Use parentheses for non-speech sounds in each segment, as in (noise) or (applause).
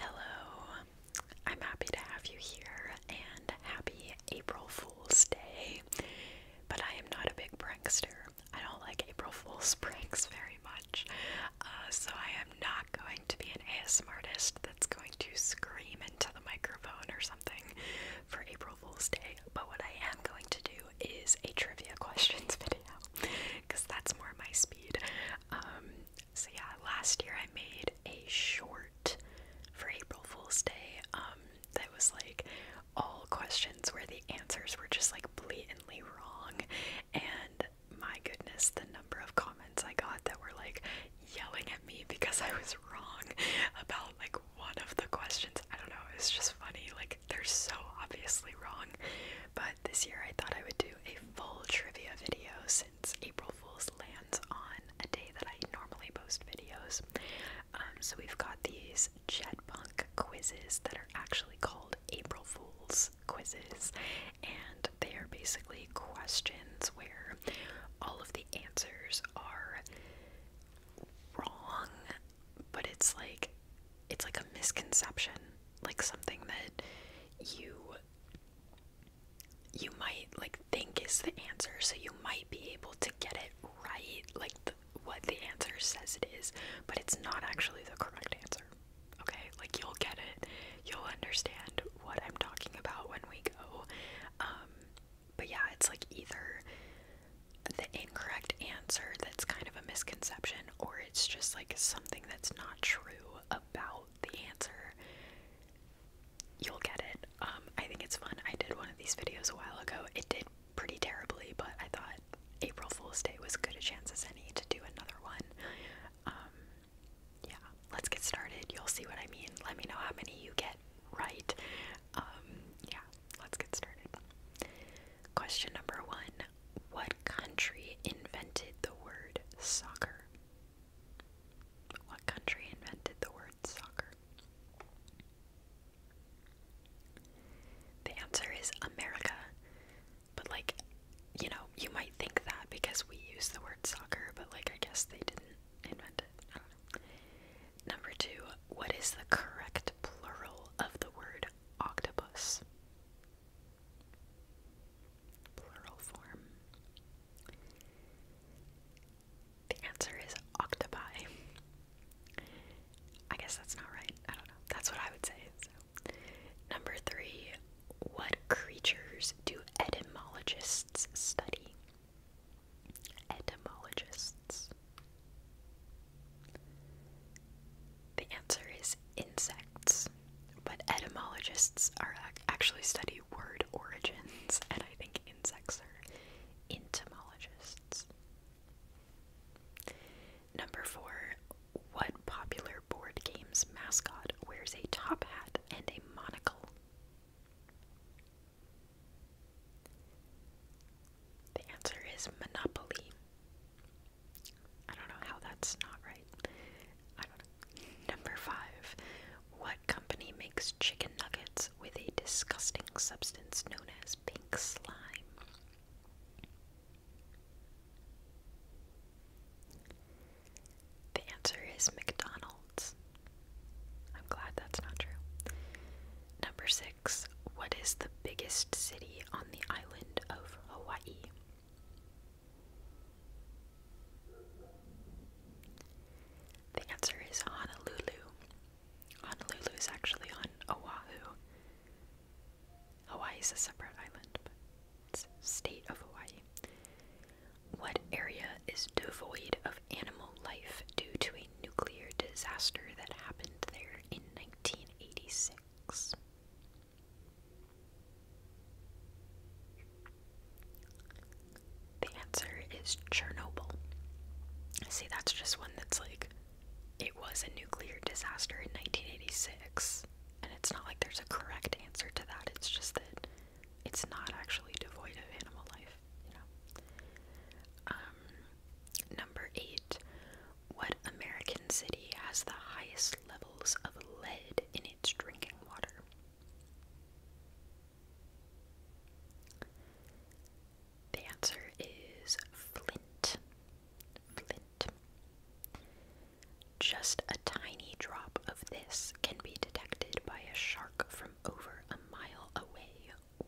Hello, I'm happy to have you here and happy April Fool's Day. But I am not a big prankster. I don't like April Fool's (laughs) pranks very much. Uh, so I am not going to be an ASM artist that's going to scream into the microphone or something for April Fool's Day. But what I am going to do is a trivia (laughs) questions video because that's more my speed. Um, so yeah, last year I made a short for April Fool's Day. Um, that was like all questions where the answers were just like blatantly wrong, and my goodness, the number of comments I got that were like yelling at me because I was wrong about like one of the questions. I don't know, it's just funny. Like they're so obviously wrong. But this year I thought I would do a full trivia videos. April Fool's lands on a day that I normally post videos. Um, so we've got these Jetpunk quizzes that are actually called April Fool's quizzes, and they are basically questions where all of the answers are wrong, but it's like it's like a misconception, like something that you you might like think is the answer so you might be able to get it right like what the answer says it is but it's not actually the correct answer okay like you'll get it you'll understand what i'm talking about when we go um but yeah it's like either the incorrect answer that's kind of a misconception or it's just like something that's not true about the answer, you'll get it. Um, I think it's fun. I did one of these videos a while ago. It did pretty terribly, but I thought April Fool's Day was good a chance as any to do another one. Um, yeah, let's get started. You'll see what I mean. Let me know how many you get right. Um, yeah, let's get started. Question number one What country invented the word soccer? What country invented the word soccer? The answer is America. But, like, you know, you might think that because we use the word soccer, but, like, I guess they didn't invent it. Number two, what is the correct plural of the word octopus? Plural form. The answer is octopi. I guess that's not right. I don't know. That's what I would say. Number three, what creatures do etymologists study? Etymologists. The answer is insects, but etymologists are actually study word origins, and I think insects are etymologists. Number four, what popular board game's mascot wears a top hat and a monocle? The answer is Monopoly. I don't know how that's not right. Number five. What company makes chicken nuggets with a disgusting substance known as pink slime? The answer is McDonald's. I'm glad that's not true. Number six. What is the biggest city on the island of Hawaii? The answer is Honolulu. Honolulu is actually on Oahu. Hawaii is a separate island, it's state of Hawaii. What area is devoid of animal life due to a nuclear disaster that happened there in 1986? The answer is Chernobyl. See, that's just one that's like, it was a nuclear disaster in 1986, and it's not like there's a correct answer to that, it's just that it's not actually devoid of animal life, you know? Um, number eight, what American city has the highest levels of lead in it? needs drinking water. The answer is Flint. Flint. Just a tiny drop of this can be detected by a shark from over a mile away.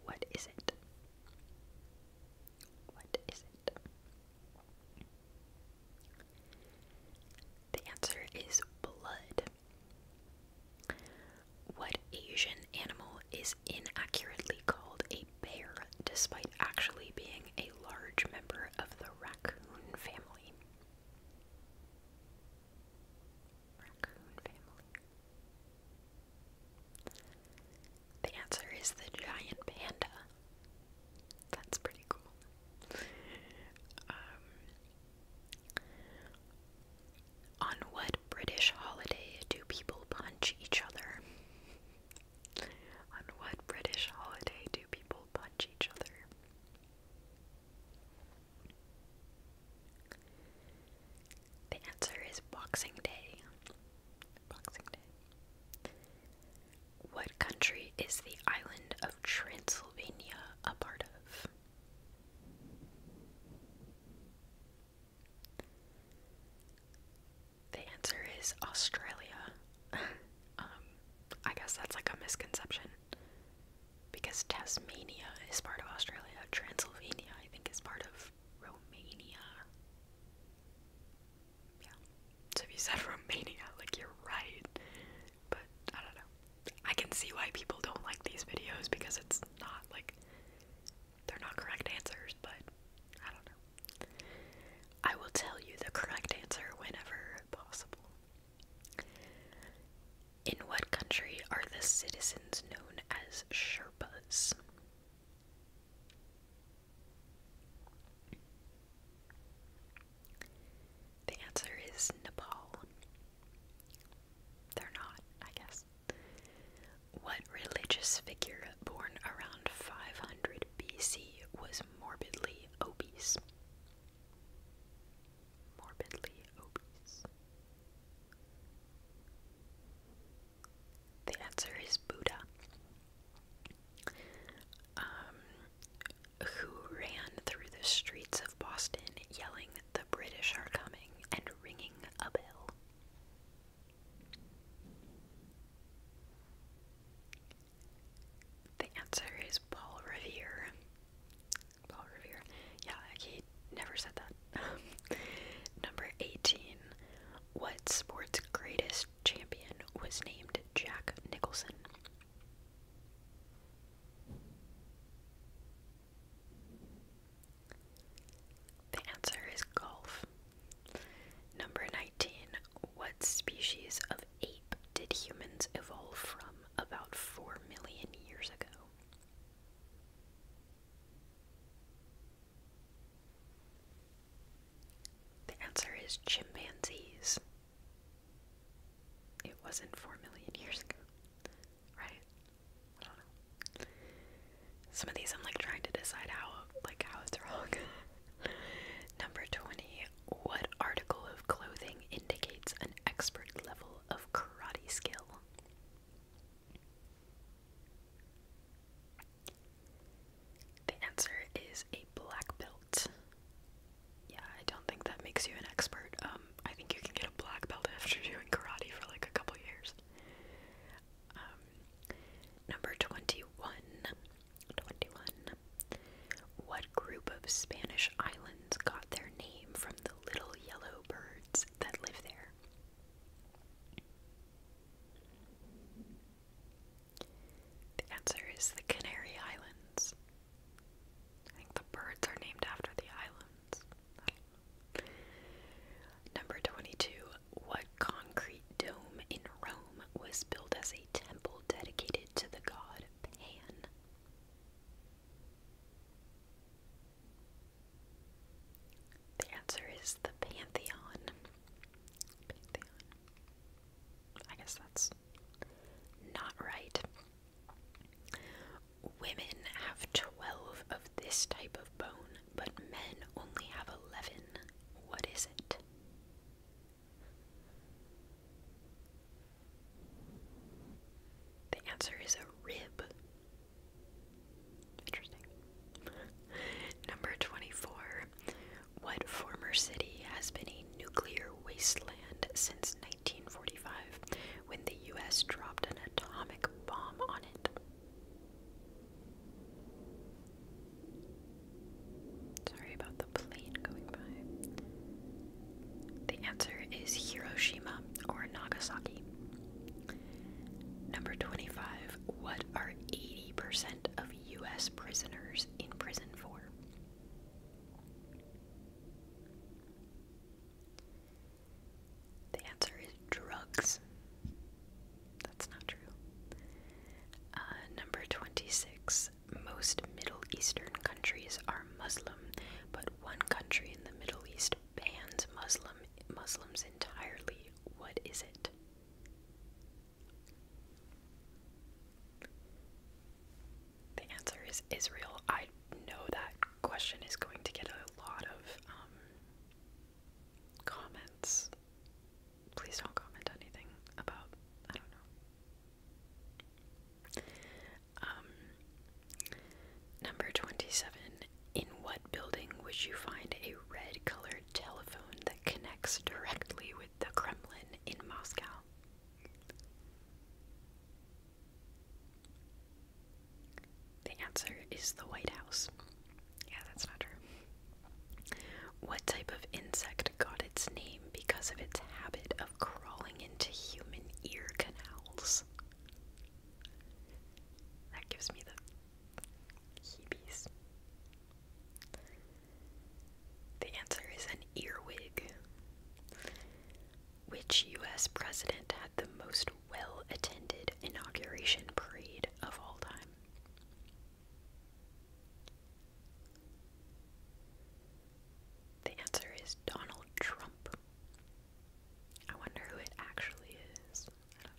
What is it? What is it? The answer is blood. What Asian animal is inaccurately called a bear despite actually being a large member of the raccoon family? The answer is the giant panda. That's pretty cool. Um, on what British holiday do people punch each other? On what British holiday do people punch each other? The answer is Boxing Day. Boxing Day. What country is the island of Transylvania a part of? The answer is Australia. (laughs) Um, I guess that's like a misconception because Tasmania is part of Australia. Transylvania, I think, is part of Romania yeah. So if you said Romania, like you're right. But I don't know. I can see why people don't like these videos because it's not like they're not correct answers, but I don't know. I will tell you the correct answer whenever possible. In what country are the citizens known as Sherpas? The answer is Nepal. They're not, I guess. What religious figure born around 500 BC was morbidly obese? Morbidly obese. The answer is Buddha. Um, who ran through the streets of Boston yelling, The British are coming, and ringing a bell. The answer is Paul Revere. Paul Revere. Yeah, he never said that. (laughs) Number 18. What sport's greatest champion was named Jack Nicholson? The answer is golf. Number 19. What species of ape did humans evolve from about 4 million years ago? The answer is chimpanzees it wasn't four million years ago, right? I don't know. Some of these I'm like trying to decide how, like, how wrong. (laughs) Number 20. What article of clothing indicates an expert level of karate skill? The answer is a black belt. Yeah, I don't think that makes you an expert. Um, I think you can get a black belt after doing karate for like a couple years. Um, number 21. 21. What group of Spanish islands got their name from the little yellow birds that live there? The answer is the Canary Islands. I think the birds are named after the islands. Number 22. What concrete dome in Rome was built as a temple dedicated to the god Pan? The answer is the Pantheon. Pantheon. I guess that's not right. Women have 12 of this type of bone, but men only have 11. What is it? The answer is a rib. Interesting. Number 24. What former city has been a nuclear wasteland since 1945 when the US dropped an atomic bomb on it? Sorry about the plane going by. The answer is Hiroshima or Nagasaki. Number 25. What are 80% of US prisoners in prison for? The answer is drugs. That's not true. Uh, number 26. Most Middle Eastern countries are Muslim, but one country in the Middle East bans Muslim Muslims entirely. What is it? The answer is Israel. I know that question is going to get a lot of um, comments. Please don't comment anything about, I don't know. Um, number 27. In what building would you find a red colored telephone that connects directly with the Kremlin in Moscow? The answer is the White House. Yeah, that's not true. What type of insect got its name because of its habit of crawling into human ear canals? That gives me the heebies. The answer is an earwig. Which US president had the most well attended inauguration parade of all time? The answer is Donald Trump. I wonder who it actually is. I don't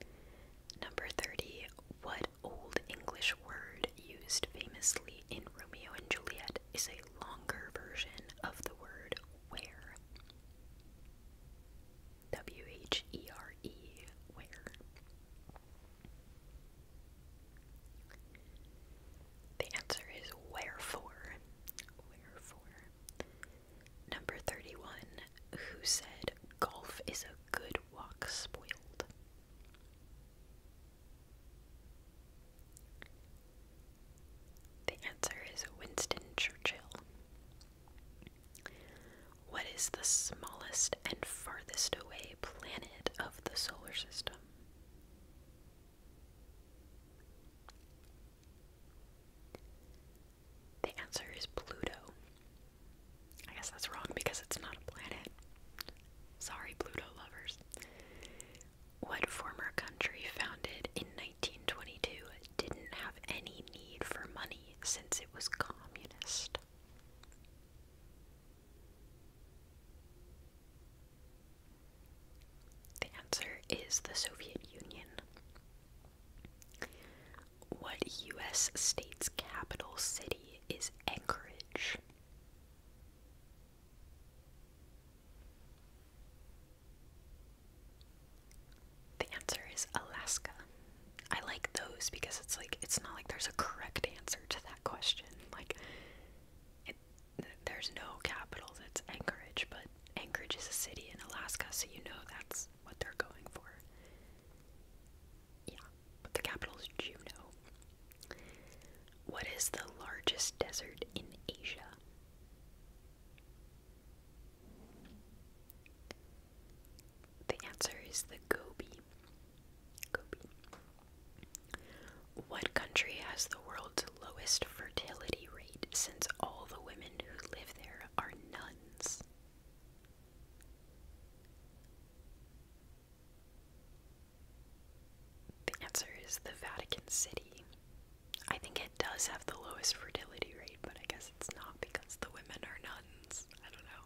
know. Number 30. What Old English word used famously in Romeo and Juliet is a longer version of the word where. W H E R E, where. The answer is wherefore. Wherefore. Number 31. Who said golf is a good walk spoiled? The answer is Winston Churchill. What is the smallest and farthest away planet of the solar system? The answer is Pluto. I guess that's wrong because it's not a planet. Sorry, Pluto lovers. What former country founded in 1922 didn't have any need for money since it was communist? The answer is the Soviet Union. What U.S. state's capital city is Anchorage? The answer is Alaska. I like those because it's like it's not like there's a correct answer to that question. Like there's no capital that's Anchorage, but Anchorage is a city in Alaska, so you know that's what they're going for. Yeah, the capital is Juneau. What is the largest desert in Asia? The answer is the Gobi. Gobi. What country has the world's lowest fertility rate since all the women who live there are nuns? The answer is the Vatican City. I think it does have the lowest fertility rate, but I guess it's not because the women are nuns. I don't know.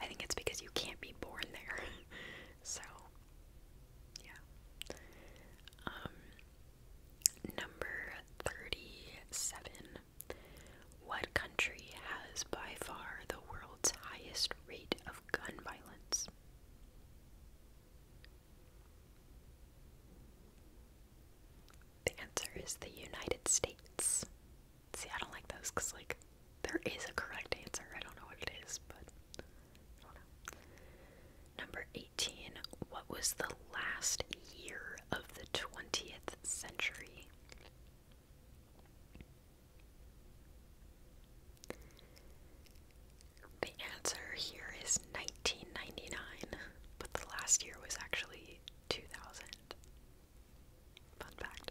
I think it's because you can't be born there. (laughs) so, yeah. Um, number 37. What country has by far the world's highest rate of gun violence. The answer is the United States. See, I don't like those because, like, there is a correct answer. I don't know what it is, but Number 18. What was the last year of the 20th century? The answer here is 1999, but the last year was actually 2000. Fun fact.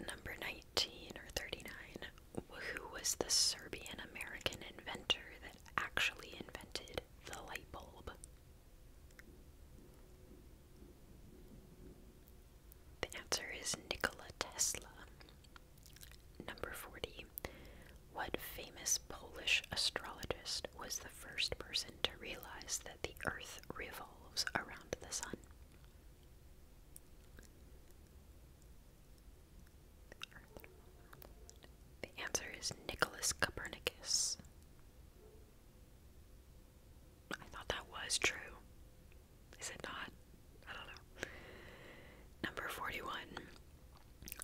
Number 19 or 39. Who was the Serbian American inventor that actually invented the light bulb? The answer is Nikola Tesla. Number 40. What famous Polish astrologist was the first person to realize that the Earth revolves around the Sun? The answer is Nicholas Copernicus. I thought that was true. Is it not? I don't know. Number 41.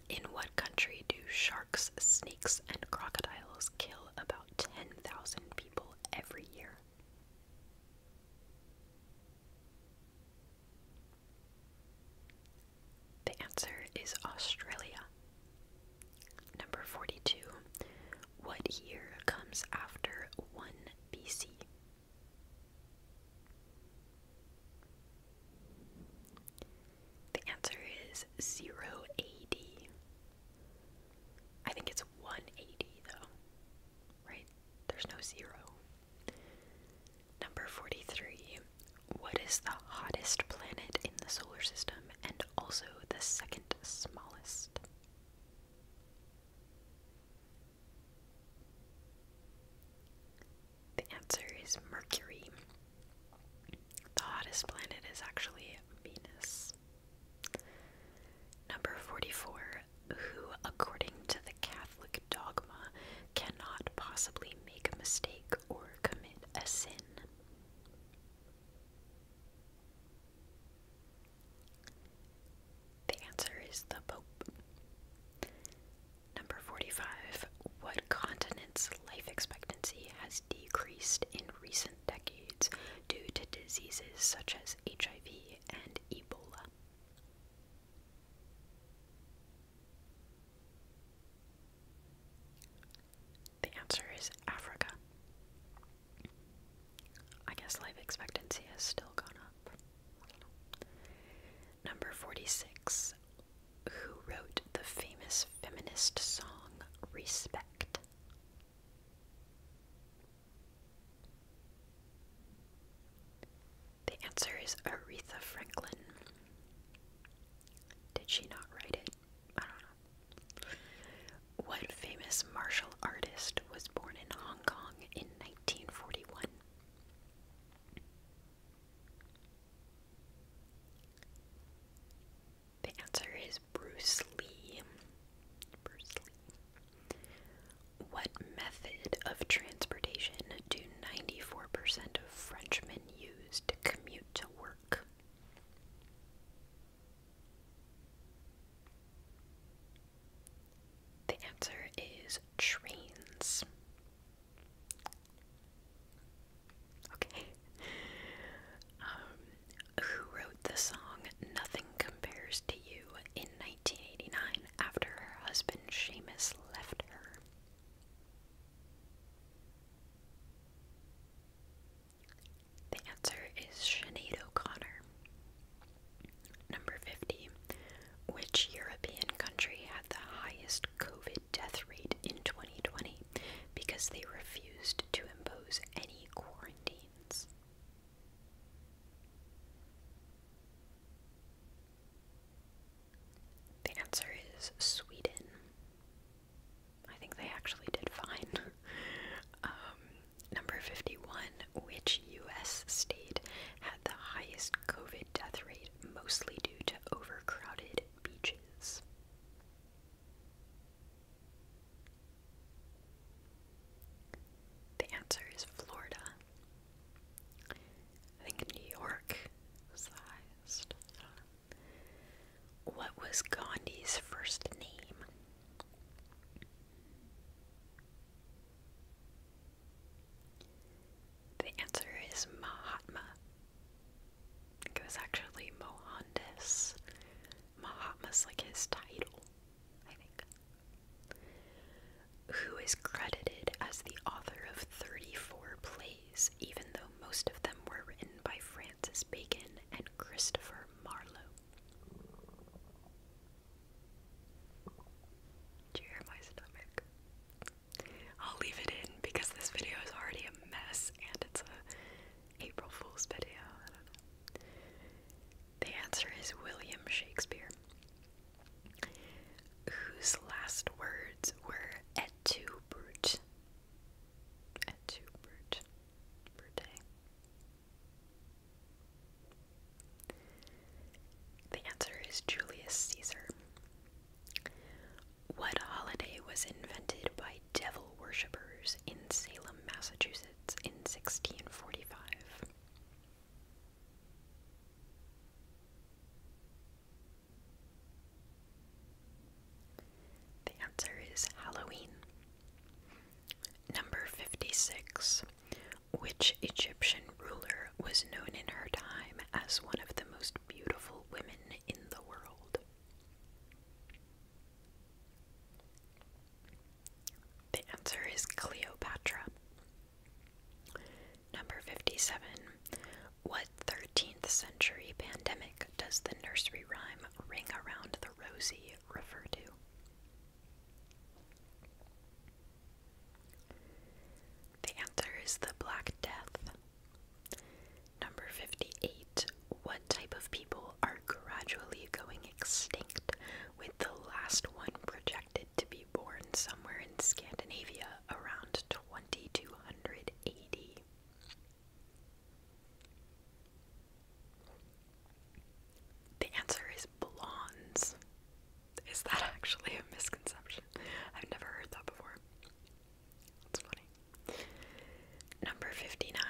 In what country do sharks, snakes, and crocodiles kill about 10,000 people every year? The answer is Australia. Number 42. What year comes after 1 BC? The answer is 0 AD. think it's 180 though, right? There's no zero. Number 43. What is the hottest planet in the solar system and also the second smallest? The answer is Mercury. The hottest planet is actually Venus. Number 44. Who, according to the Catholic dogma, cannot possibly make a mistake or commit a sin? The answer is the Pope. Number 45. What continent's life expectancy has decreased in recent decades due to diseases such as HIV and Ebola? The answer is Africa. I guess life expectancy has still gone up. Number 46. Who wrote the famous feminist song Respect? The answer is Aretha Franklin. Did she not write it? I don't know. What famous martial artist was born in Hong Kong in 1941? The answer is Bruce Lee. Bruce Lee. What method of transportation do 94% of Frenchmen use to commute to work? The answer is trains. Okay. Um, who wrote the song Nothing Compares to You in 1989 after her husband Seamus left her? The answer is Sinead O'Connor. Number 50. Which European country had the highest COVID death rate in 2020 because they refused to impose any quarantines? The answer is Sweden. I think they actually did fine. (laughs) Um, number 51 Which U.S. state had the highest COVID death rate, mostly due to overcrowded beaches? The answer is Florida. I think New York was the highest. What was Gandhi's first name? The answer is Mahatma. It was actually Mohandas. Mahatma's like his title, I think. Who is credited as the author of 34 plays, even though most of them were written by Francis Bacon and Christopher Marlowe? Do my stomach? I'll leave it in because this video is already a mess and it's a April Fool's video. The answer is William Shakespeare, whose last words were "Et tu, brute." Et tu, brute. Brute. The answer is Julius Caesar. What holiday was invented by devil worshippers in Salem, Massachusetts in 1645? The answer is Halloween. Number 56. Which Egyptian ruler was known in her time as one of the most beautiful women in the world? The answer is Cleopatra. Number 57. What 13th century pandemic does the nursery rhyme Ring Around the rosy? refer to. The answer is the Black Death. Number 58. What type of people are gradually going extinct, with the last one projected to be born somewhere in Scandinavia around 2280? The answer is blondes. Is that (laughs) actually a misconception? I've never heard that before. That's funny. Number 59.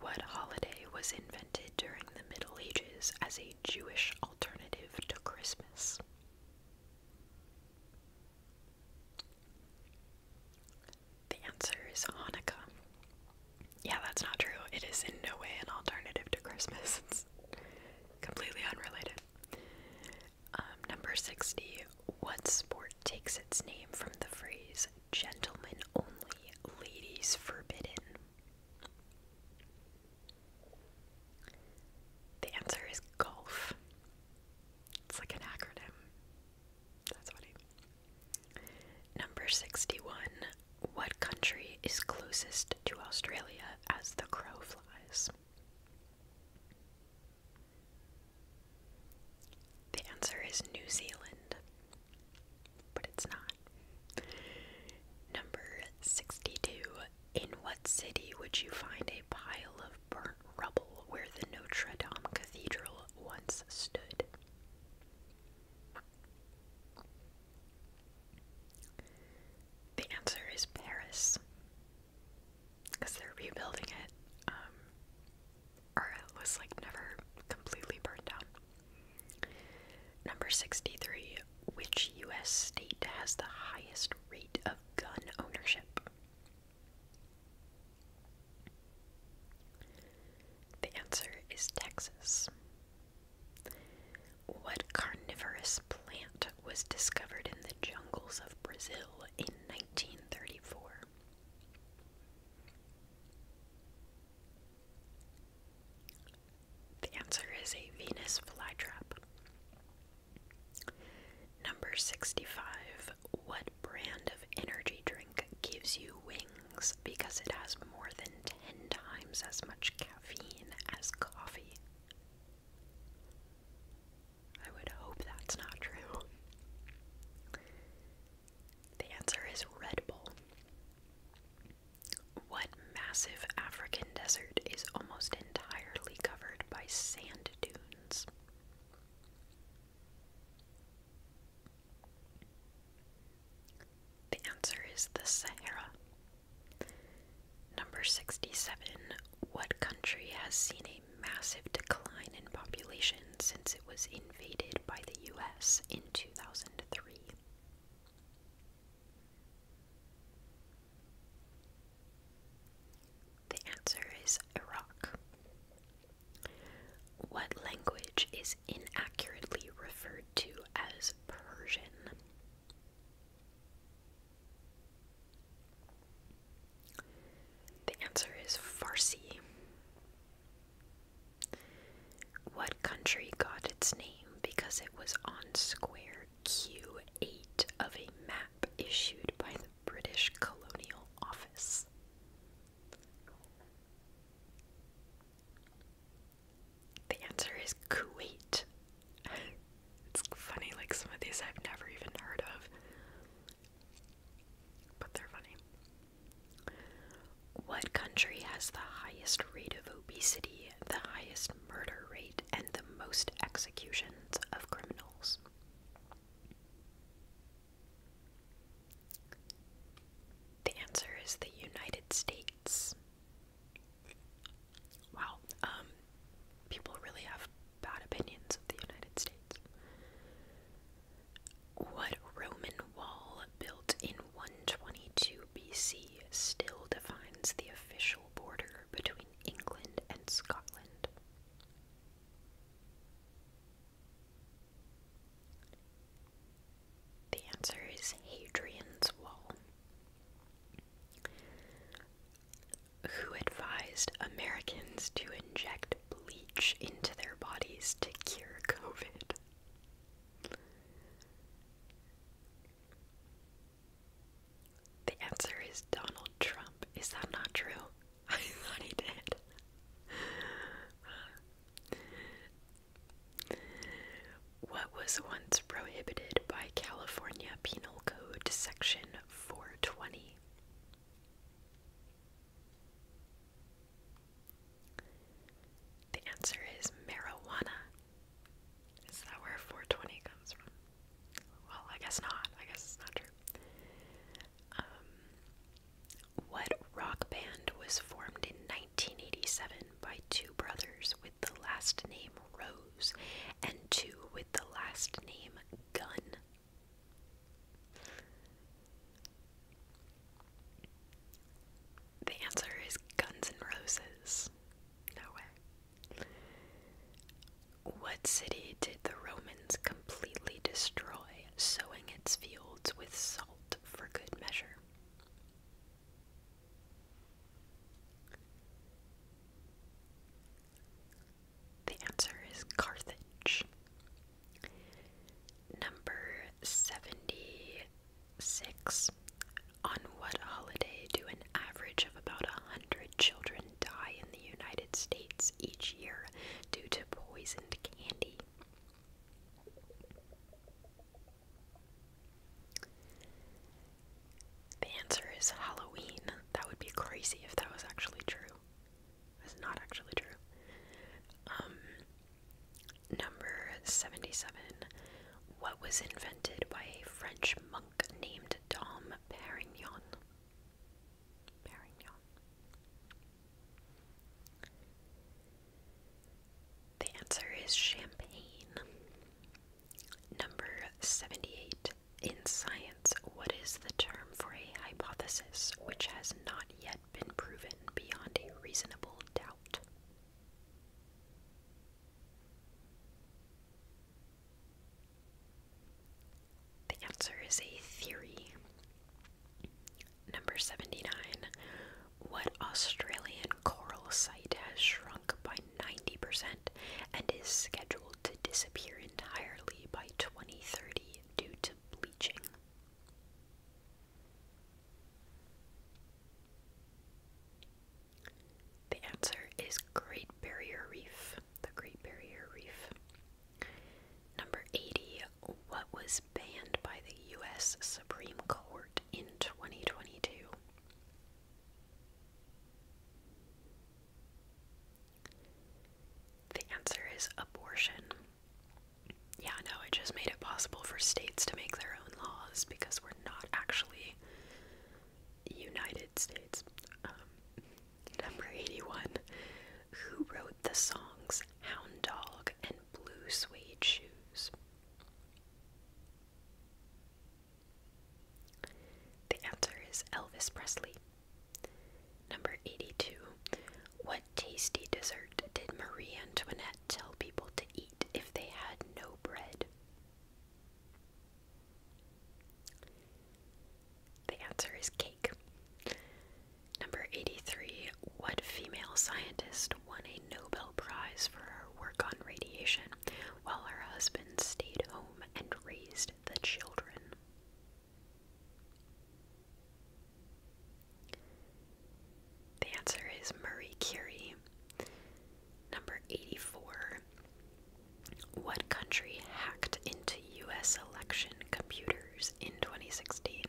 What holiday was invented during the Middle Ages as a Jewish alternative to Christmas? The answer is Hanukkah. Yeah, that's not true. It is in no way an alternative to Christmas. (laughs) It's completely unrelated. Um, number 60. What sport takes its name from the phrase gentlemen only, ladies forbidden? The answer is golf. It's like an acronym. That's funny. Number 61. What country is closest to Australia as the crow flies? The answer is New Zealand, but it's not. Number 62. In what city would you find a pile of burnt rubble where the Notre Dame Cathedral once stood? The answer is Paris. Because they're rebuilding it, um, or it was like never completely burned down. Number 63. Which US state has the highest rate of gun ownership? The answer is Texas. What carnivorous plant was discovered in the jungles of Brazil in 1934? The answer is a Venus flytrap. Number 65. What brand of energy drink? gives you wings because it has more than 10 times as much caffeine as coffee. I would hope that's not true. The answer is Red Bull. What massive African desert is almost entirely covered by sand dunes? The answer is the Sahara. Number 67. What country has seen a massive decline in population since it was invaded by the US in 2003? The answer is Iraq. What language is inaccurately referred to as Persian? The answer is Farsi. What country got its name because it was on square Q8 of a map issued by the British Colonial Office? The answer is Kuwait. (laughs) it's funny, like some of these I've never even heard of, but they're funny. What country has the highest rate of obesity, the highest murder rate, and the most executions of criminals? The answer is the United States. Wow, um, people really have bad opinions of the United States. What Roman wall built in 122 BC still defines the official border between England and Scotland? The answer is Hadrian's Wall. Who advised Americans to inject bleach into their bodies to cure COVID? The answer is Donald Trump. Is that not true? (laughs) I thought he did. What was once prohibited by California Penal Code Section 420? The answer is marijuana. Is that where 420 comes from? Well, I guess not. I guess it's not true. Um, what rock band was formed in 1987 by two brothers with the last name Rose and two with the last name Gunn? The answer is Guns N' Roses. No way. What city did the Romans come? completely destroy, sowing its fields with salt for good measure. The answer is Carthage. Number 76. On what holiday do an average of about 100 children die in the United States each year due to poisoned candy? The answer is Halloween. That would be crazy if that was actually true. It's not actually true. Um, number 77. What was invented by a French monk named Dom Perignon? The answer is champagne. Number 78. In science, what is the term for a hypothesis which has not yet been proven beyond a reasonable doubt? The answer is a theory. Number 79. What Australian coral site has shrunk by 90% and is scheduled to disappear entirely by 2030 due to bleaching? The answer is Great Barrier Reef. The Great Barrier Reef. Number 80. What was banned by the U.S. Supreme Court in 2022? The answer is abortion. Yeah, no, it just made it possible for states to make their own laws because we're not actually United States. Um, number 81. Who wrote the songs Hound Dog and Blue Suede Shoes. The answer is Elvis Presley. Number 82. What tasty dessert did Marie Antoinette tell people to eat if they had no bread? The answer is cake. Number 83. What female scientist won a Nobel Prize for her work on radiation while her husband stayed home and raised the children? The answer is Marie Curie. Number 84. What country hacked into U.S. election computers in 2016?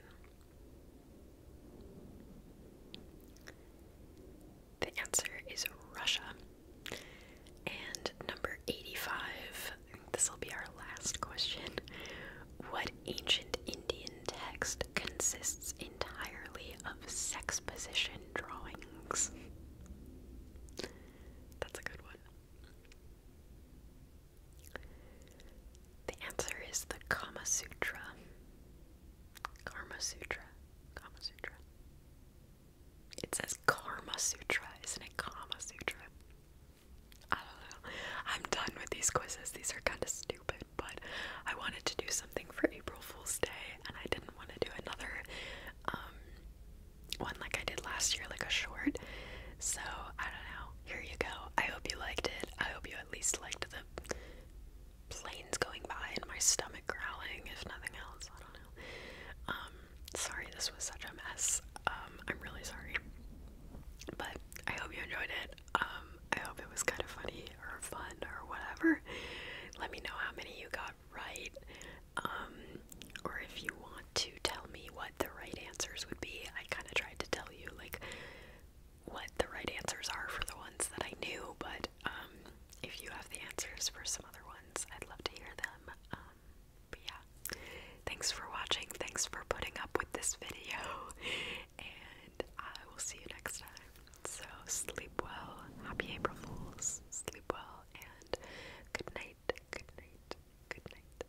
The answer is Russia. And number 85, this will be our last question. What ancient Indian text consists entirely of sex position drawings? That's a good one. The answer is the Karma Sutra. Karma Sutra. Karma Sutra. It says Karma Sutra, isn't it? Karma Sutra. I don't know. I'm done with these quizzes. These are kind of stupid, but I wanted to do something for April Fool's Day, and I didn't want to do another um, one like I did last year, like a short. So, I don't know. Here you go. I hope you liked it. I hope you at least liked the planes going by and my stomach growling, if nothing else. I don't know. Um, sorry this was such a mess. Um, I'm really sorry. But I hope you enjoyed it. Um, I hope it was kind of funny or fun or whatever. Let me know how many you got right. or if you want to tell me what the right answers would be. I kind of tried to tell you like what the right answers are for the ones that I knew, but um, if you have the answers for some other ones, I'd love to hear them. Um, but yeah, thanks for watching. Thanks for putting up with this video, (laughs) and I will see you next time. So sleep well. Happy April Fools. Sleep well and good night. Good night. Good night.